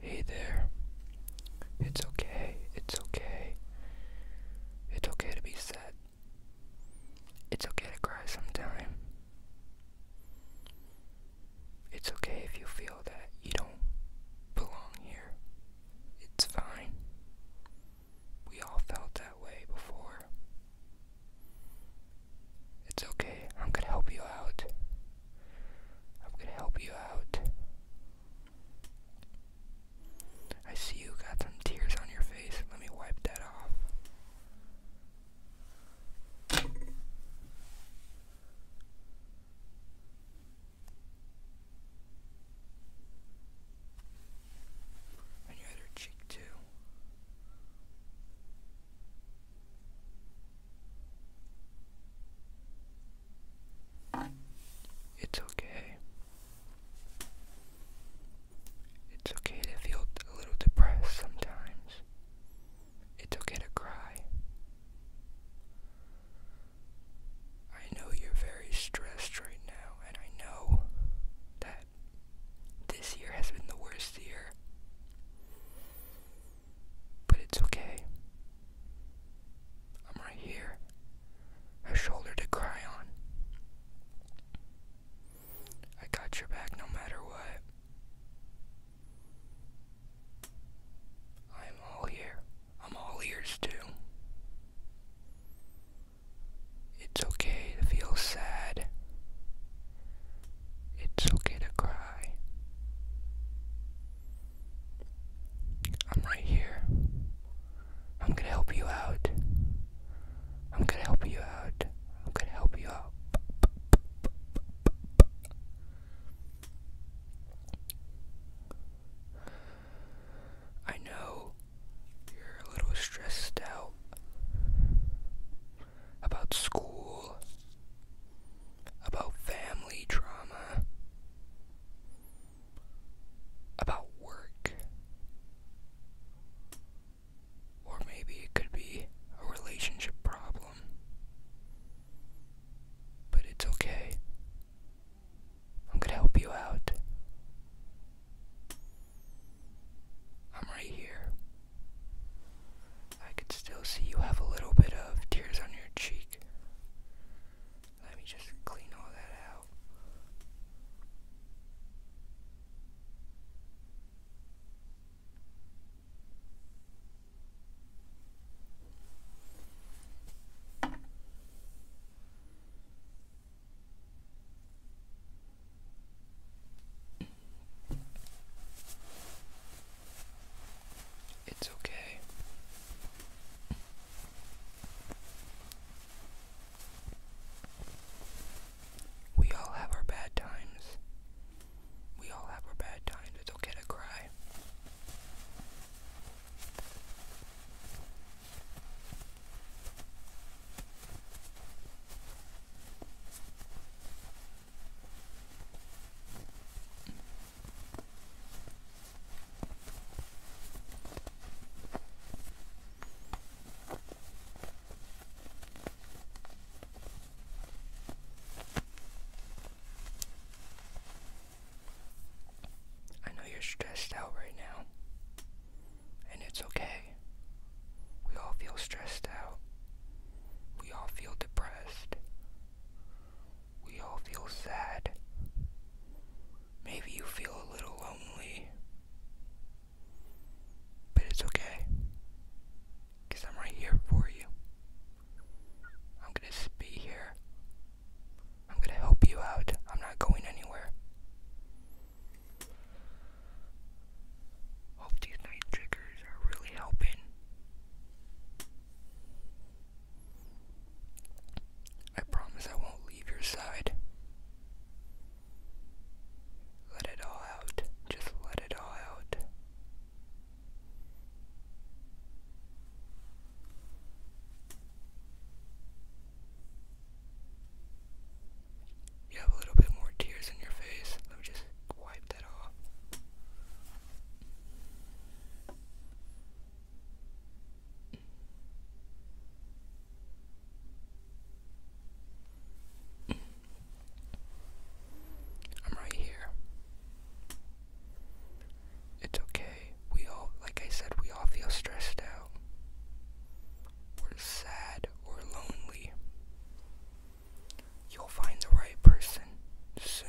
Hey there. It's okay. It's okay. It's okay to be sad. It's okay to cry sometimes. It's okay if you feel that you don't belong here. It's fine. We all felt that way before. It's okay. I'm gonna help you out. I'm gonna help you out. I see you got some tears on your face. Let me wipe that off. And your other cheek, too. It's okay. It's okay to feel a little depressed sometimes. It's okay to cry. I know you're very stressed right now, and I know that this year has been the worst year. But it's okay. I'm right here, a shoulder to cry on. I got your back no matter what. I'm all here. I'm all ears too. It's okay to feel sad. It's okay to cry. I'm right here. I'm gonna help you out. I'm gonna help you out. I'm gonna help you out. I know you're a little stressed out about school, about family drama, about work. Or maybe it could be a relationship problem. But it's okay. I'm going to help you out. I'm right here. I can still see you have a little bit of tears on your cheek. Let me just clean all that out. It's okay. We all have our bad times. We all have our bad times. It's okay to cry. I know you're stressed out right now, and it's okay. We all feel stressed out. We all feel depressed. We all feel sad. Maybe you feel a little lonely. But it's okay. Because I'm right here for you. I'm going to be here. I'm going to help you out. I'm not going anywhere. Hope these night triggers are really helping. I promise I won't leave your side. Let it all out. Just let it all out. You have a little bit more tears in your face. Let me just wipe that off. I'm right here. It's okay. We all, like I said, we all feel stressed out. we sad or lonely. You'll find the right person soon.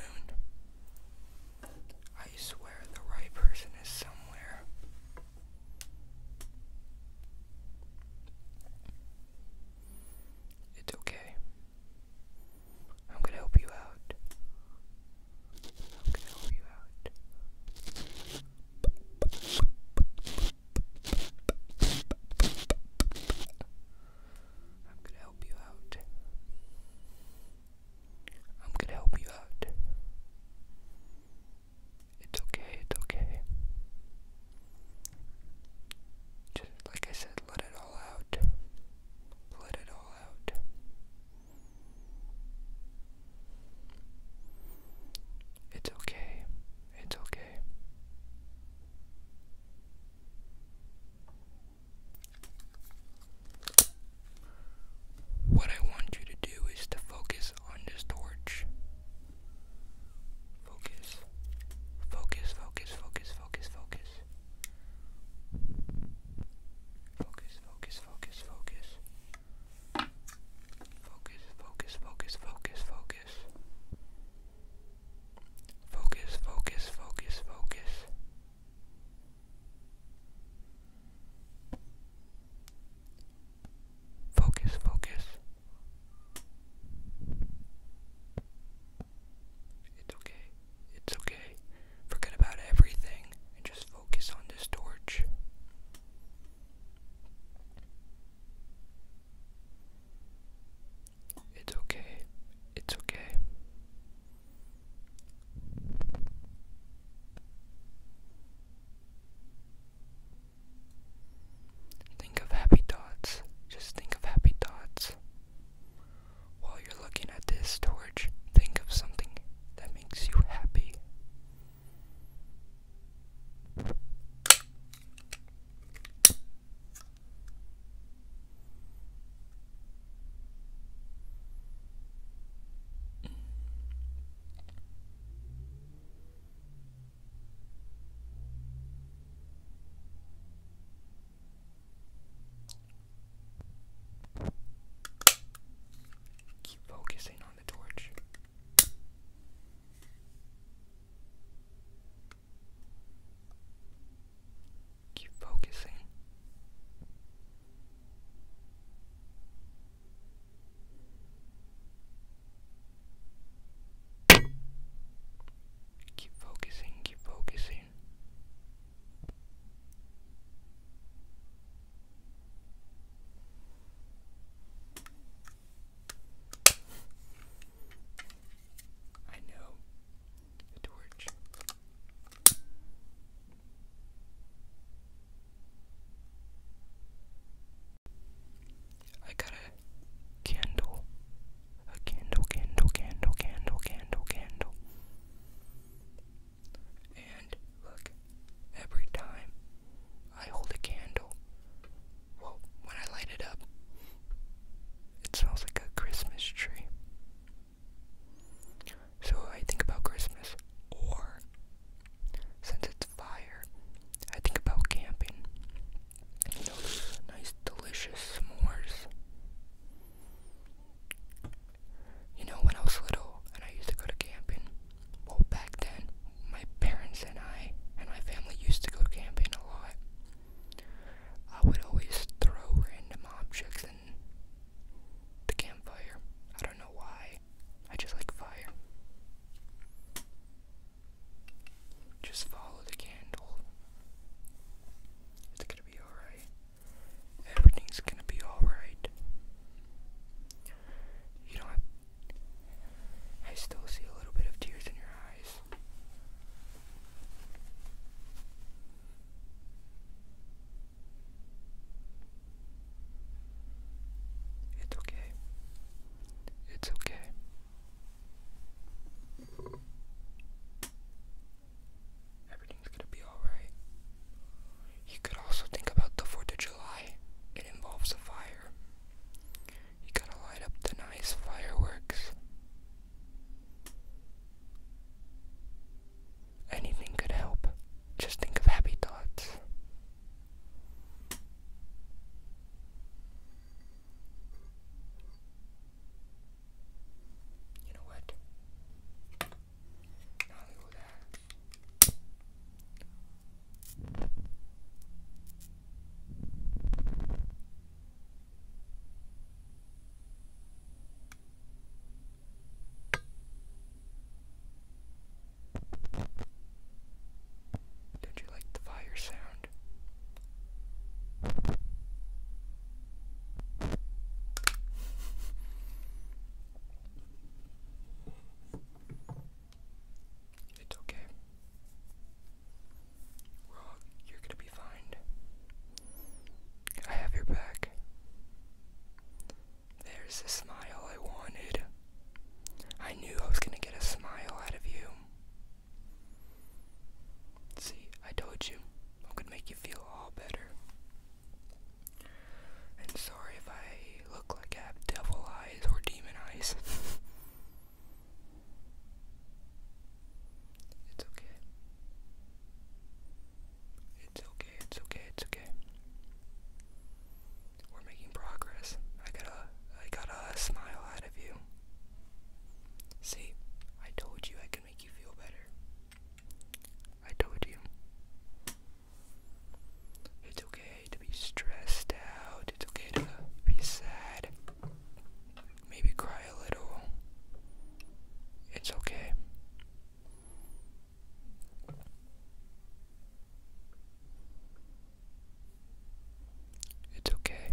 I swear the right person is somewhere. It's okay. I'm gonna help you out. I'm gonna help you out. I'm gonna help you out. I'm gonna help you out. It's okay, it's okay. Just like I said, let it all out. Let it all out. It's okay. It's okay. What I want you to do is to focus on this torch. Focus. Focus, focus, focus, focus, focus. Focus, focus, focus, focus. Focus, focus, focus, focus, focus focus. Focus, focus, focus, focus. Focus, It's okay. It's okay. Forget about everything and just focus on this torch. It's okay. It's okay. Think of happy thoughts. Just think of happy thoughts. While you're looking at this torch, think of something that makes you happy. Keep focusing on the torch. Keep focusing. Keep focusing, keep focusing. I know the torch. I got a candle. A candle, candle, candle, candle, candle, candle. And look, every time I hold a candle. Well, when I light it up, it smells like a Christmas tree. So I think about Christmas, or since it's fire, I think about camping. You know, those nice, delicious s'mores. You know, when I was little and I used to go to camping, well, back then, my parents and I and my family used to go camping a lot. I would always throw random objects in the campfire. I don't know why. I just like fire. Just follow the candle. It's gonna be alright. Everything's gonna be alright. You don't have I still see a little bit of tears in your eyes. It's okay. It's okay. Everything's gonna be alright. You could also think about the 4th of July. It involves a fire. You gotta light up the nice fireworks. Anything could help. Just think of happy thoughts. You know what? Not only that did you like the fire sound? It's okay. we you're gonna be fine. I have your back. There's the smile I wanted. I knew I was gonna get a smile out of you. See, I told you I could make you feel all better. And sorry if I look like I have devil eyes or demon eyes. it's okay. It's okay, it's okay, it's okay. We're making progress. I got a I got a smile out of you. See, I told you I could make you feel better. I told you. It's okay to be stressed out. It's okay to be sad. Maybe cry a little. It's okay. It's okay.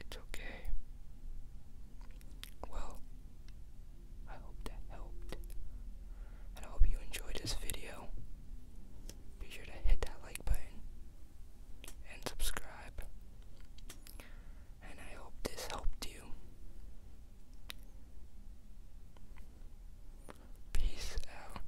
it's okay. Well, I hope that helped. And I hope you enjoyed this video. Be sure to hit that like button and subscribe. And I hope this helped you. Peace out.